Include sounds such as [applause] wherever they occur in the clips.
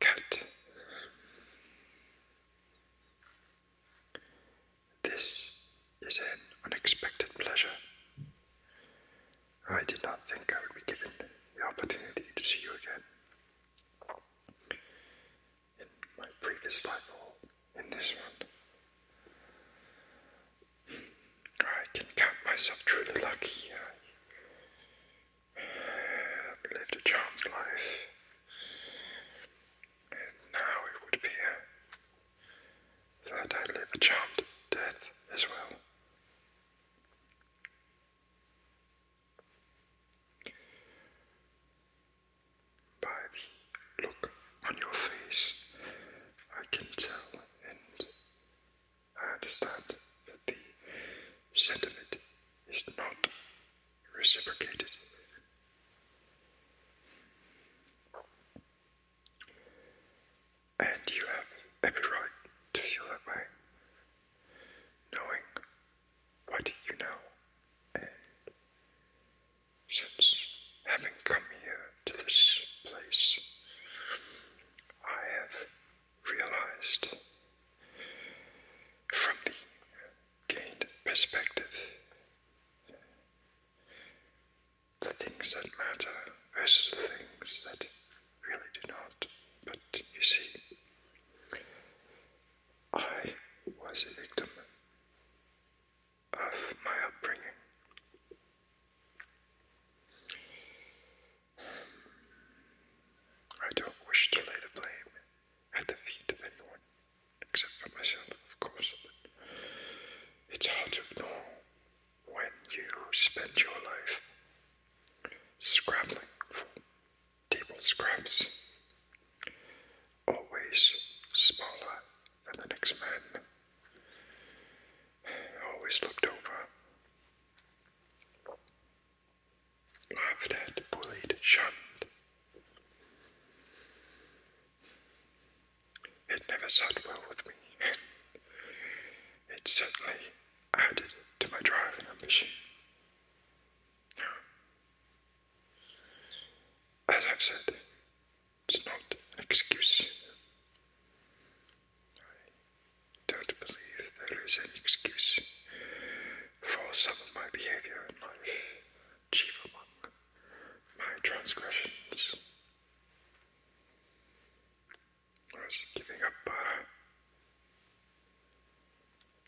Cut this is an unexpected pleasure. I did not think I would be given the opportunity to see you again. In my previous life or in this one. I can count myself truly lucky. I lived a charmed life. And now it would appear that I live a charmed death as well. By the look on your face, I can tell and I understand that the sentiment is not reciprocated. And you have every right to feel that way, knowing what you know. since having come here to this place, I have realized from the gained perspective the things that matter versus the things that really do not. But you see, I was a victim of my upbringing. I don't wish to lay the blame at the feet of anyone, except for myself, of course, it's hard to know when you spend your life scrabbling for table scraps, always smaller than the next man, always looked over, laughed at, bullied, shunned. It never sat well with me. [laughs] it certainly added to my drive and ambition. As I've said, it's not an excuse. I don't believe there is an excuse for some of my behavior in life, chief among my transgressions or is he giving up Para?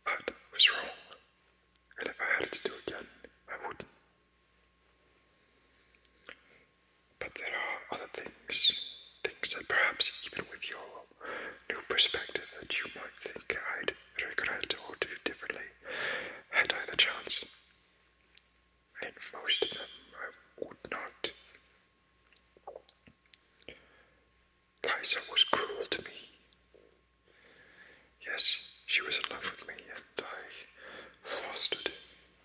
Uh, that was wrong, and if I had it to do again, I would. But there are other things, things that perhaps even with your new perspective that you might think I'd regret or do differently had I the chance. And most of them I would not Liza was cruel to me. Yes, she was in love with me, and I fostered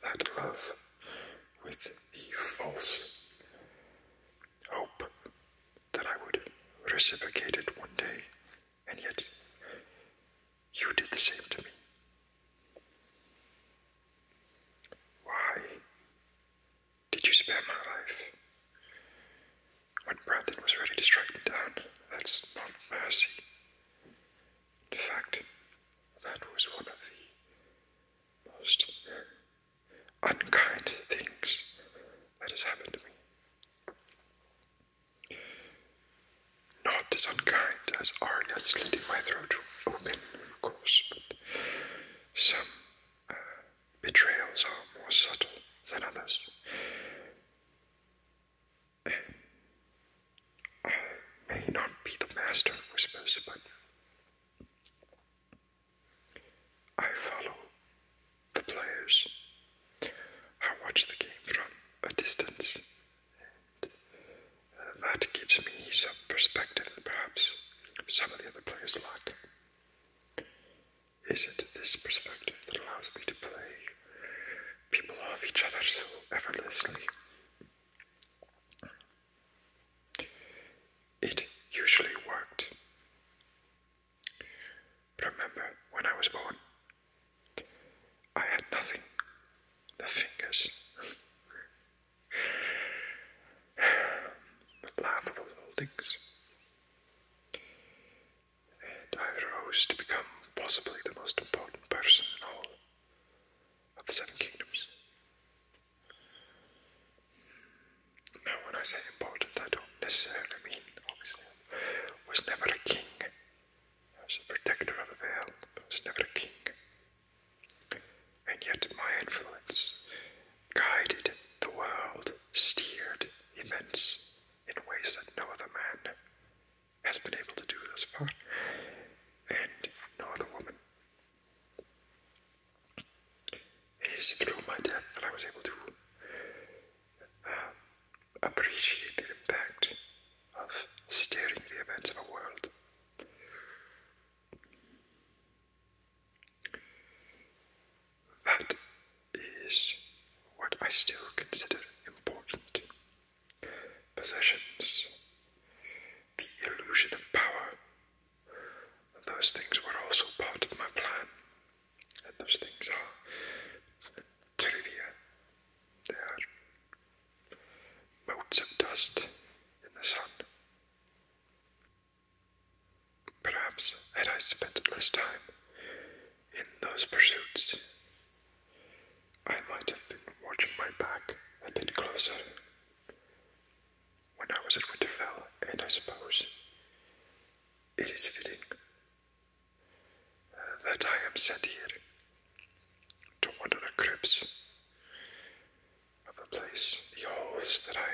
that love with the false hope that I would reciprocate it one day, and yet you did the same to me. Why did you spare my life? When Brandon was ready to strike me down, that's not mercy. In fact, that was one of the most unkind things that has happened to me. Not as unkind as Arya slitting my throat open, of course, but some uh, betrayals are more subtle than others. I may not be the master of whispers, but I follow the players. I watch the game from a distance that gives me some perspective that perhaps some of the other players lack. Is it this perspective that allows me to play people off each other so effortlessly? It usually worked. Remember when I was born? I had nothing. The fingers. [laughs] laughable things. And I rose to become possibly the most important person in all of the Seven Kingdoms. Now, when I say important, I don't necessarily mean, obviously, I was never a king. I was a protector of a veil, I was never a king. And yet my influence guided the world, steered events in ways that no other man has been able to do thus far, and no other woman. It is through my death that I was able to uh, appreciate the impact of steering the events of a world. That is what I still consider important. Possessions, the illusion of power, those things were also part of my plan. And those things are uh, trivia. They are motes of dust in the sun. Perhaps had I spent less time in those pursuits, I might have been watching my back a bit closer when I was at Winterfell, and I suppose it is fitting uh, that I am sent here to one of the crypts of the place, the holes that I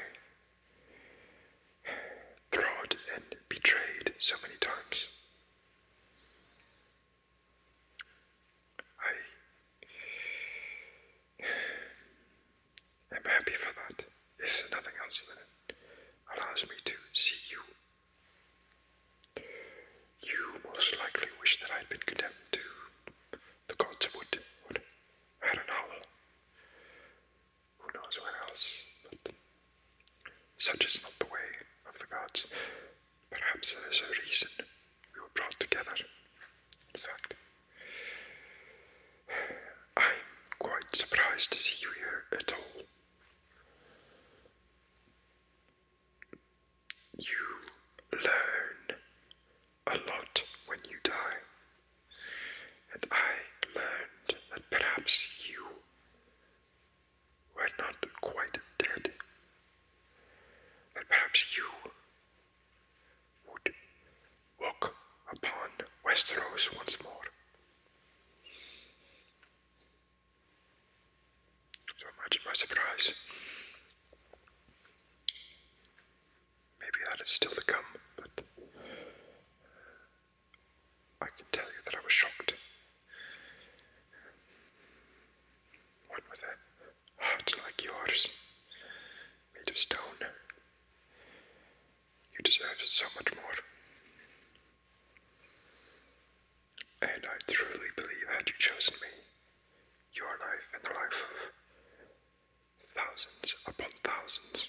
trod and betrayed so many times. I am happy for that, if nothing else, then it allows me to see you. You most likely wish that I'd been condemned to the gods would, would I don't know. Who knows what else? But such is not the way of the gods. Perhaps there is a reason we were brought together. In fact, I'm quite surprised to see you here at all you learn a lot when you die. And I learned that perhaps you were not quite dead. That perhaps you would walk upon Westeros once more. So imagine my surprise. Maybe that is still to come, but I can tell you that I was shocked. One with a heart like yours, made of stone. You deserve so much more. And I truly believe, had you chosen me, your life and the life of thousands upon thousands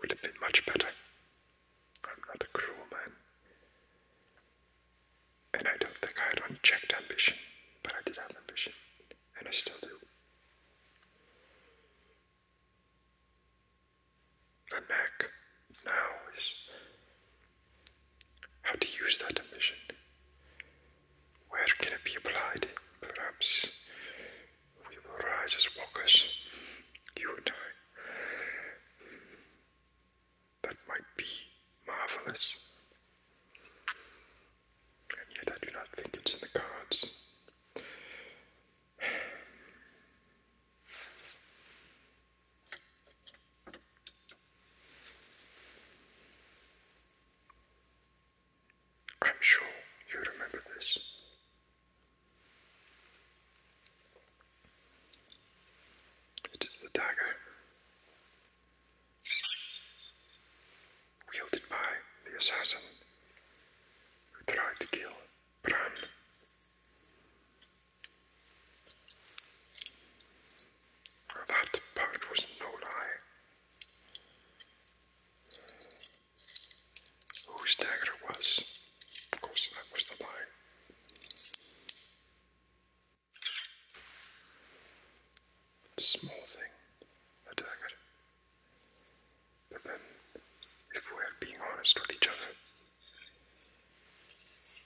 would have been much better. I'm not a cruel man. And I don't think I had unchecked ambition, but I did have ambition, and I still do. And Mac now is how to use that ambition. Where can it be applied? Perhaps we will rise as walkers, you and I. That might be marvelous. And yet, I do not think it's in the cards. I'm sure you remember this. It is the dagger wielded by the assassin who tried to kill Bran. That part was no lie. Whose dagger it was? Of course, that was the lie. Small thing, a dagger. But then, if we're being honest with each other,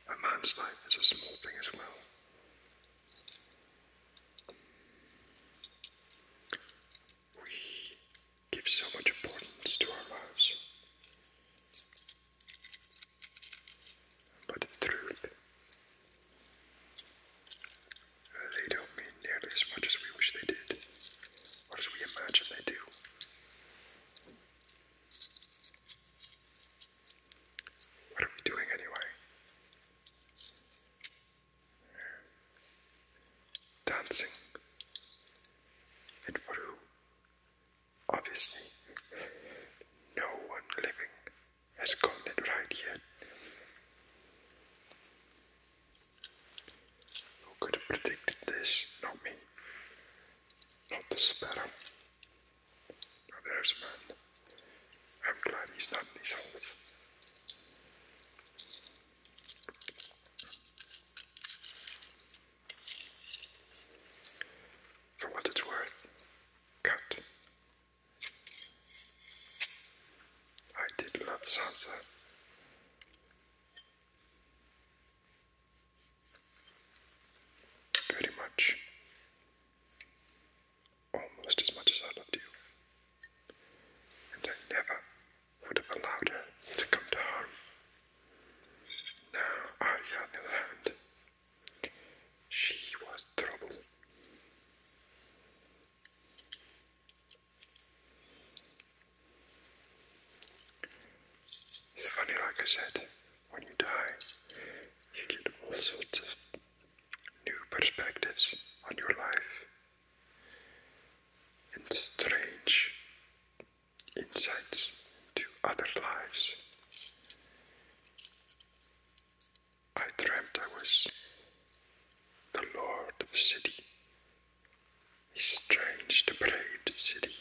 a man's life is a small thing as well. We give so much importance to our lives. But in truth, they don't mean nearly as much as we wish they did, or as we imagine they do. What are we doing anyway? Dancing. And for who? Obviously, no one living has gotten it right yet. Who could have predicted this? Not me. Not the sparrow. Now there's a man. I'm glad he's not in these holes. For what it's worth, cut. I did love Sansa. Pretty much almost as much as I loved you. And I never would have allowed her to come to harm. Now, Arya, on the she was trouble. It's funny, like I said, when you die, you get all sorts of new perspectives on your life and strange insights into other lives. I dreamt I was the lord of a city, a strange, depraved city,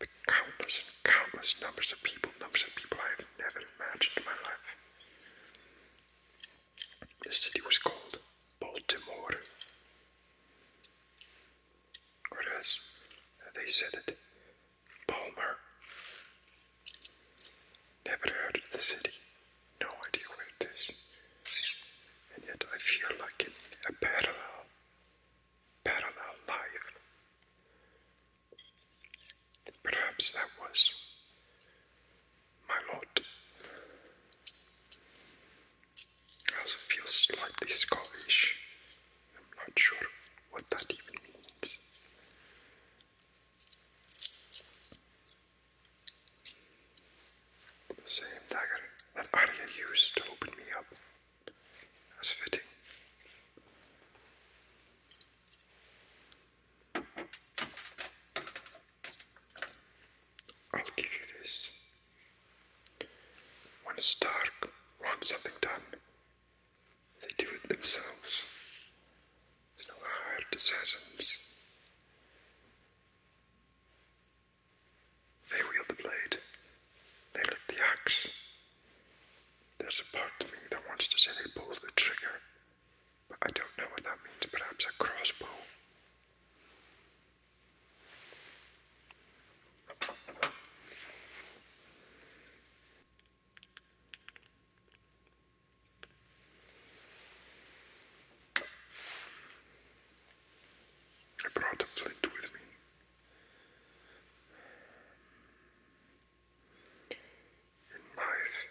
the countless and countless numbers of people, numbers of people I have never imagined in my life. The city was called Baltimore. Or as they said it, Palmer. Never heard of the city, no idea where it is. And yet I feel like in a parallel parallel life. Perhaps that was my lot. I also feel slightly Scottish. I'm not sure what that even means. The same dagger that Arya used to open me up that's fitting. I'll give you this. When a Stark wants something done, they do it themselves. no hired assassins. They wield the blade they lift the axe. There's a part of me that wants to say they pull the trigger, but I don't know what that means. Perhaps a crossbow. I brought a flint with me in life,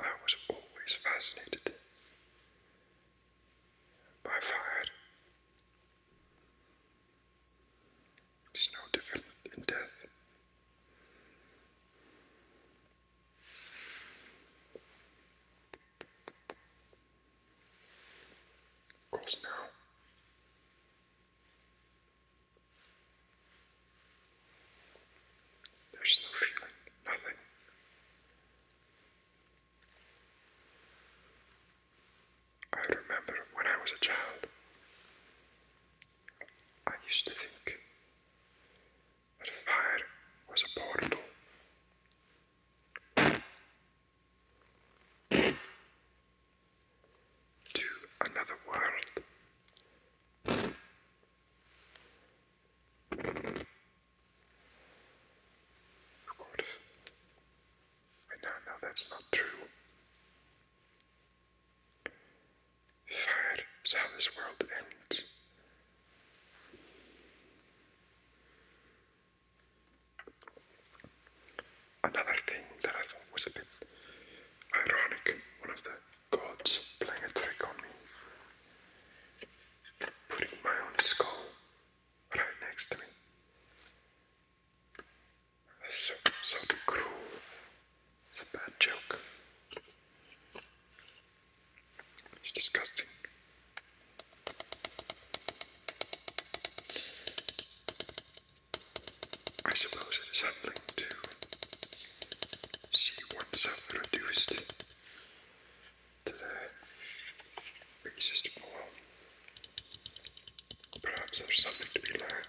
I was always fascinated by fire. It's no different in death. Of now there's no feeling, nothing. I remember when I was a child, I used to think that fire was a to another world. Of course, I now know that's not true. Fire is how this world ends. Another thing that I thought was a bit ironic, one of the gods playing a trick on me, putting my own skull right next to me. so, so cruel. It's a bad joke. It's disgusting. I suppose it is something to see oneself reduced to the basest world. Perhaps there's something to be learned.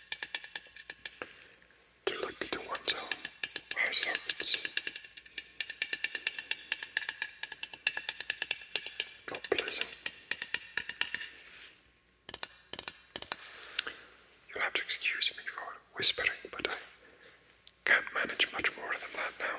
to look to one's own eye sockets. Not pleasant. You'll have to excuse me for whispering, but I can't manage much more than that now.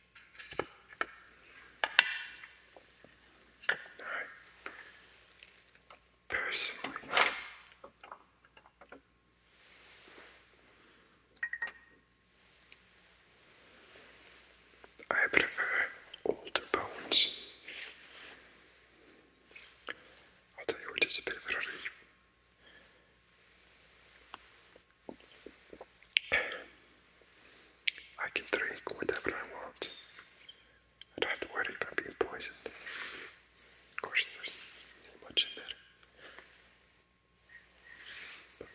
I personally I prefer older bones. will tell you what, it's a bit of a relief I can drink whatever I want. I don't have to worry about being poisoned. Of course, there's not much in there. But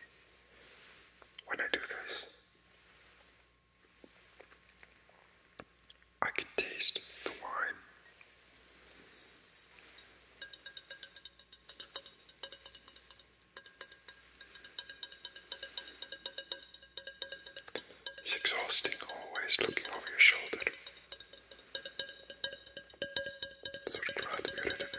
when I do this, I can taste the wine. It's exhausting always looking over your shoulder. Sort of glad to get rid of it.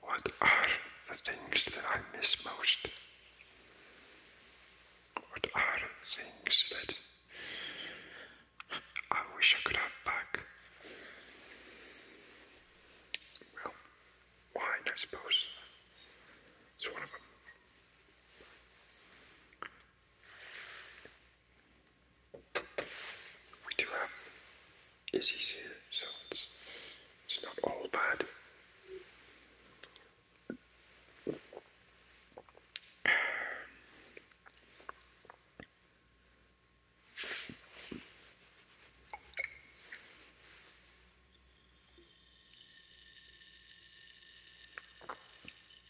What are the things that I miss most? What are the things that I wish I could have back? Well, wine, I suppose. It's one of them we do have is easier, so it's, it's not all bad.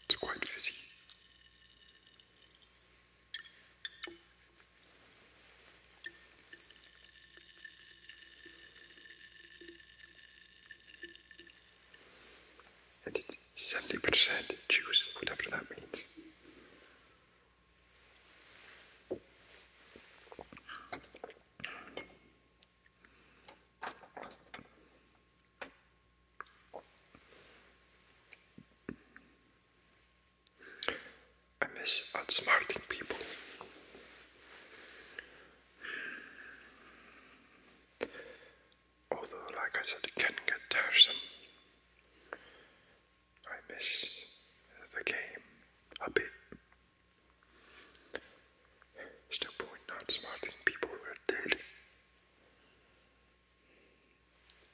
It's quite fizzy. And it's 70% juice, whatever that means. I miss outsmarting people. Although, like I said, it can get tiresome. I miss the game a bit. There's point not people who are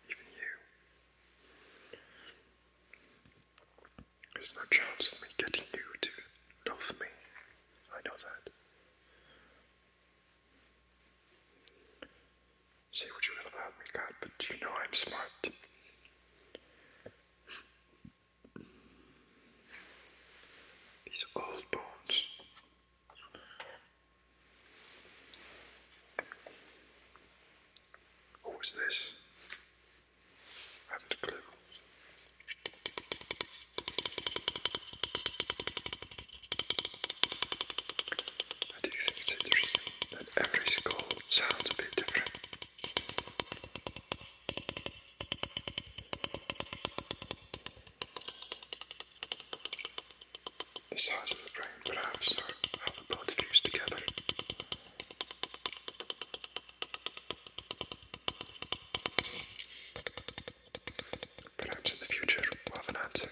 even you. There's no chance of me getting you to love me. I know that. Say what you will about me, God, but you know I'm smart. These old bones what was this? I haven't clue. I think it's interesting that every skull sounds a bit different the size of the brain, perhaps, or how the blood fused together. Perhaps in the future we'll have an answer.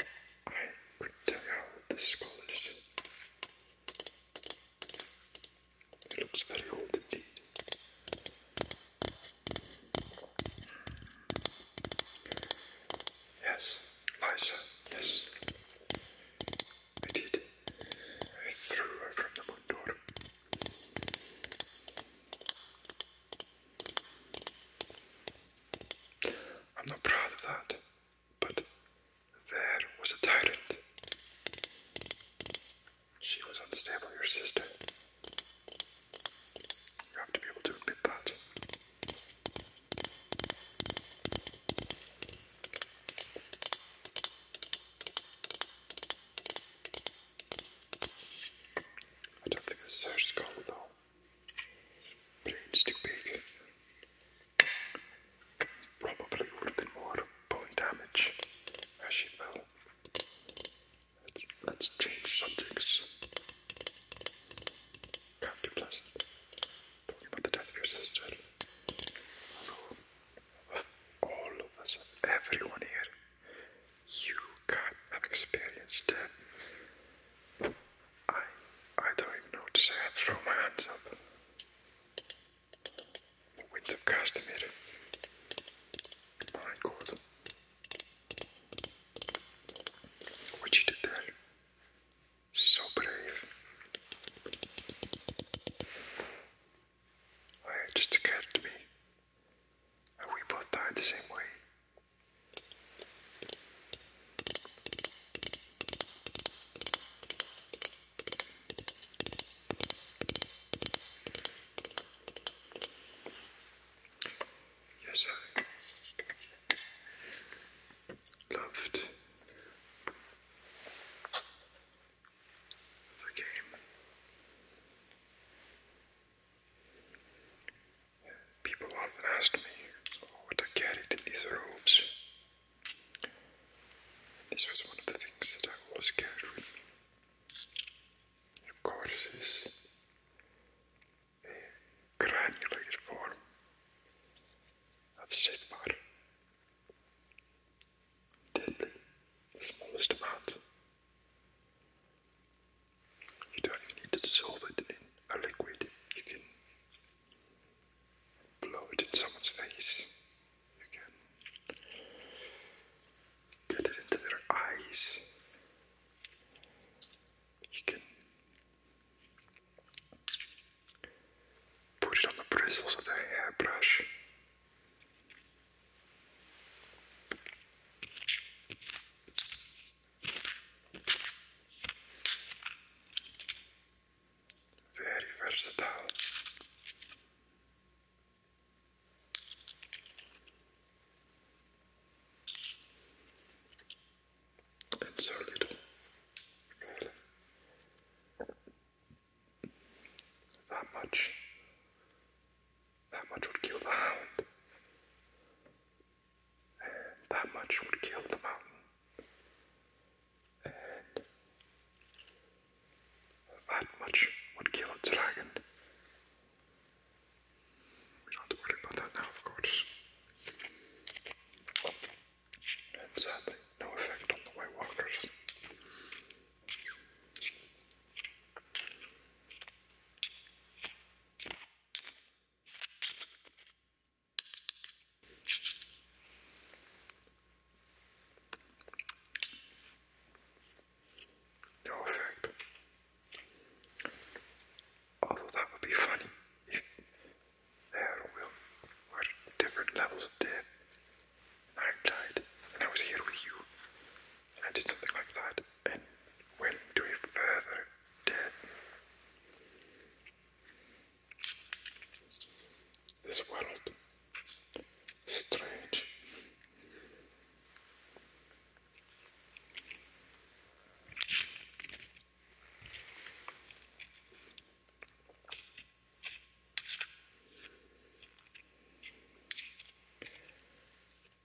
I could tell you skull It looks very old indeed. Yes, Liza, yes. I did. I threw her from the moon door. I'm not proud of that, but there was a tyrant. She was unstable, your sister. You have to be able to admit that. I don't think it's her skull, though. Plain too big. Probably would have been more bone damage as she fell. Let's, let's change subjects. Can't be pleasant. Talking about the death of your sister. Although, of all of us, everyone here, you can experienced death I I don't even know what to say. I throw my hands up. The wind of Castamere. My God. What you did there? So brave. I just occurred to me, and we both died the same way. Yes, I loved the game. People often ask me oh, what I carried in these robes. This was one of the things that I was carried Of course, is a uh, granulated form of Sidbar. Deadly, the smallest amount. You don't even need to dissolve it in a liquid. You can blow it in someone's face. You can get it into their eyes. You can put it on the bristles of their hairbrush. Very versatile. And so That much, that much would kill the hound that much would kill the mountain. And that much would kill a dragon. We don't have about that now, of course. And sadly, no effect on the White Walkers. Perfect. Although that would be funny there were different levels of death, I died, and I was here with you, I did something like that and went to a further death. This world, strange.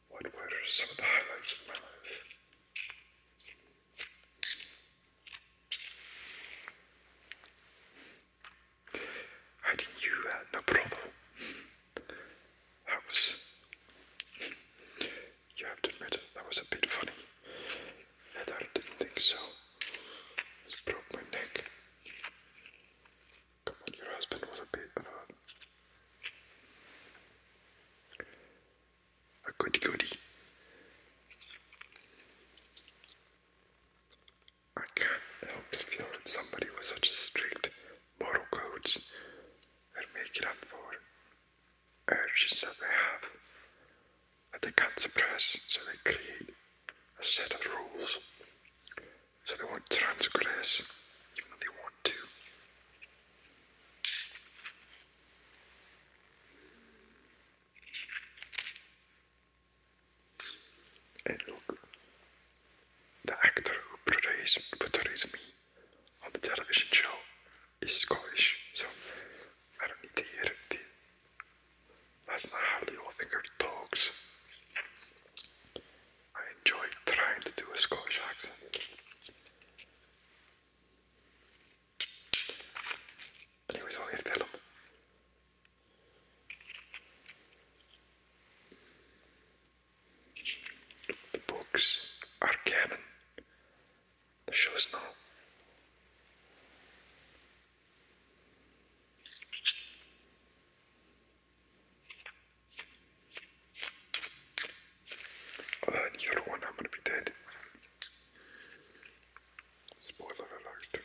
What were some of the highlights of my life? Hiding you at no brothel. That was. You have to admit, that was a bit funny. I didn't think so. broke my neck. Come on, your husband was a bit of a a goody goody. I can't help the feeling somebody with such strict moral codes that make it up for urges that they have that they can't suppress, so they create a set of rules. So they won't transgress, even though they want to. And look, the actor who portrays, portrays me on the television show is Scottish, so I don't need to hear it. That's not how Littlefinger talks. I enjoy trying to do a Scottish accent. And only a The books are canon. The show's not. Uh, one, I'm gonna be dead. Spoiler alert.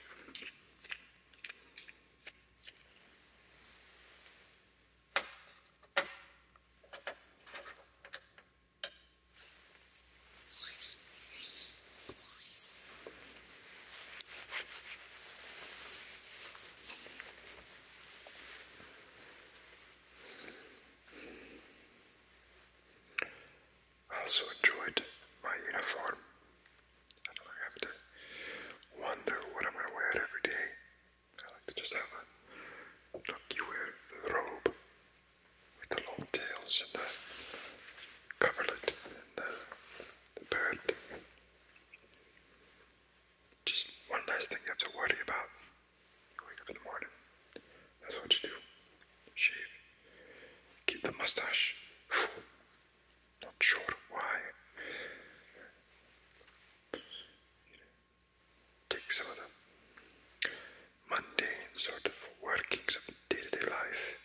I also enjoyed my uniform. I don't like having to wonder what I'm going to wear every day. I like to just have a lucky robe with the long tails and the coverlet and the bird just one less thing you have to worry about. Wake up in the morning. That's what you do. Shave. Keep the mustache. [sighs] Not sure why. take some of the mundane sort of workings of day-to-day life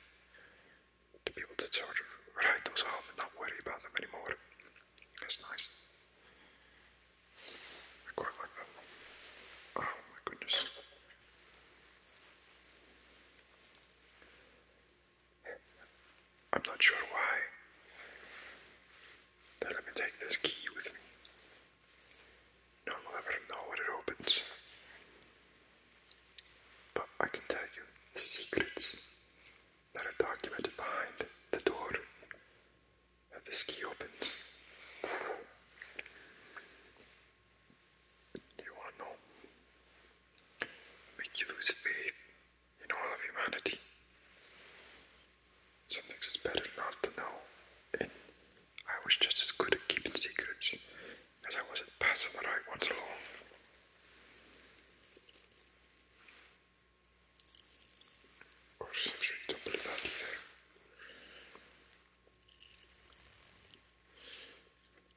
to be able to sort of write those off and not worry about them anymore. That's nice. I quite like that Oh my goodness. I'm not sure why they let me take this key with me. No one will ever know when it opens. But I can tell you secrets that are documented behind the door that this key opens. You want to know? Make you lose faith in all of humanity. Some it's better not to know, and I was just as good at keeping secrets as I was at passing them out once along.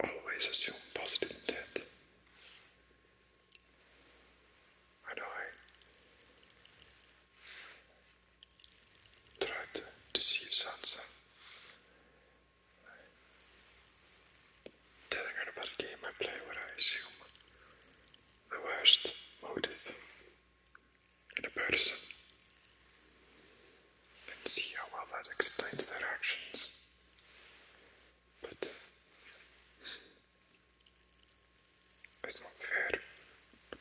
Always assume positive intent. I I tried to deceive Sansa telling her about a game I play where I assume the worst motive in a person and see how well that explains their actions. But it's not fair.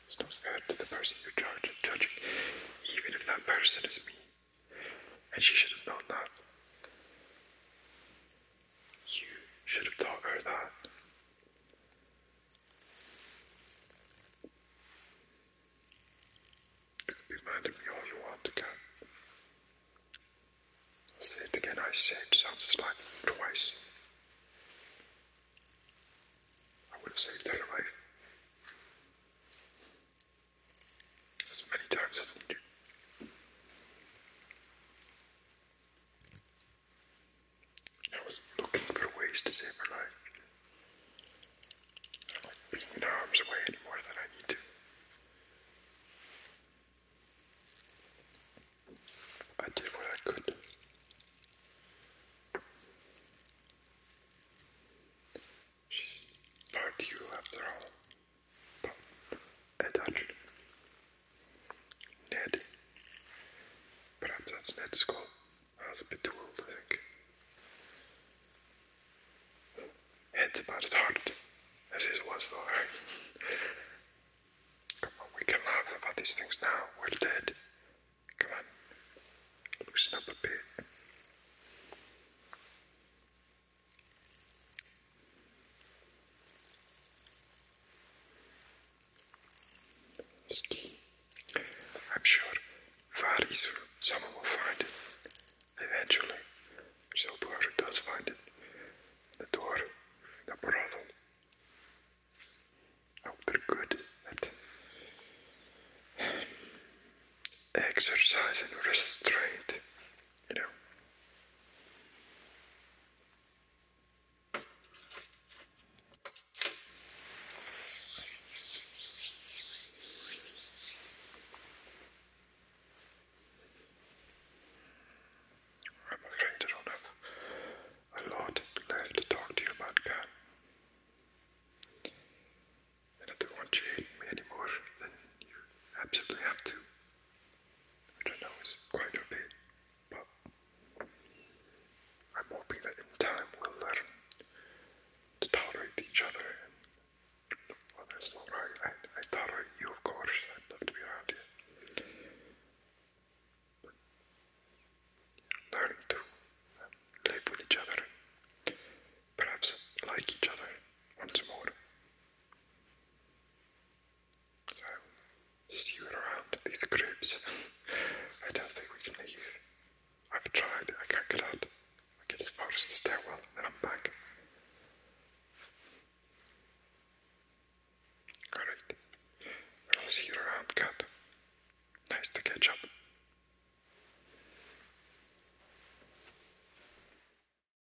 It's not fair to the person you judge judging, even if that person is me. And she should have known that. You should have taught her that. You me all you want again. say it again, I saved Sansa's life twice. I would have saved her life as many times as needed. I was looking for ways to save her life. I was being in harm's way any than I need to. I did what I could. She's part you after all. Edal, Ned. Perhaps that's Ned's skull. I was a bit too old, I think. about as hard as his was, though. [laughs] Come on, we can laugh about these things now. We're dead. Come on, loosen up a bit. Ski. I'm sure Varis or someone will find it eventually. So whoever does find it, the door, the brothel. I hope they're good at [sighs] exercise restraint. I'm afraid I don't have a lot left to talk to you about, Kat. And I don't want you to hate me anymore, then you absolutely have to which I know is quite a bit, but I'm hoping that in time we'll learn to tolerate each other. And that's not right. I, tolerate you, of course. I'd love to be around you. learning to um, live with each other, perhaps like each other once more. So, um, see you around these groups. I don't think we can leave. I've tried, I can't get out. I get as far as the stairwell and I'm back. Alright. I'll see you around, cat. Nice to catch up.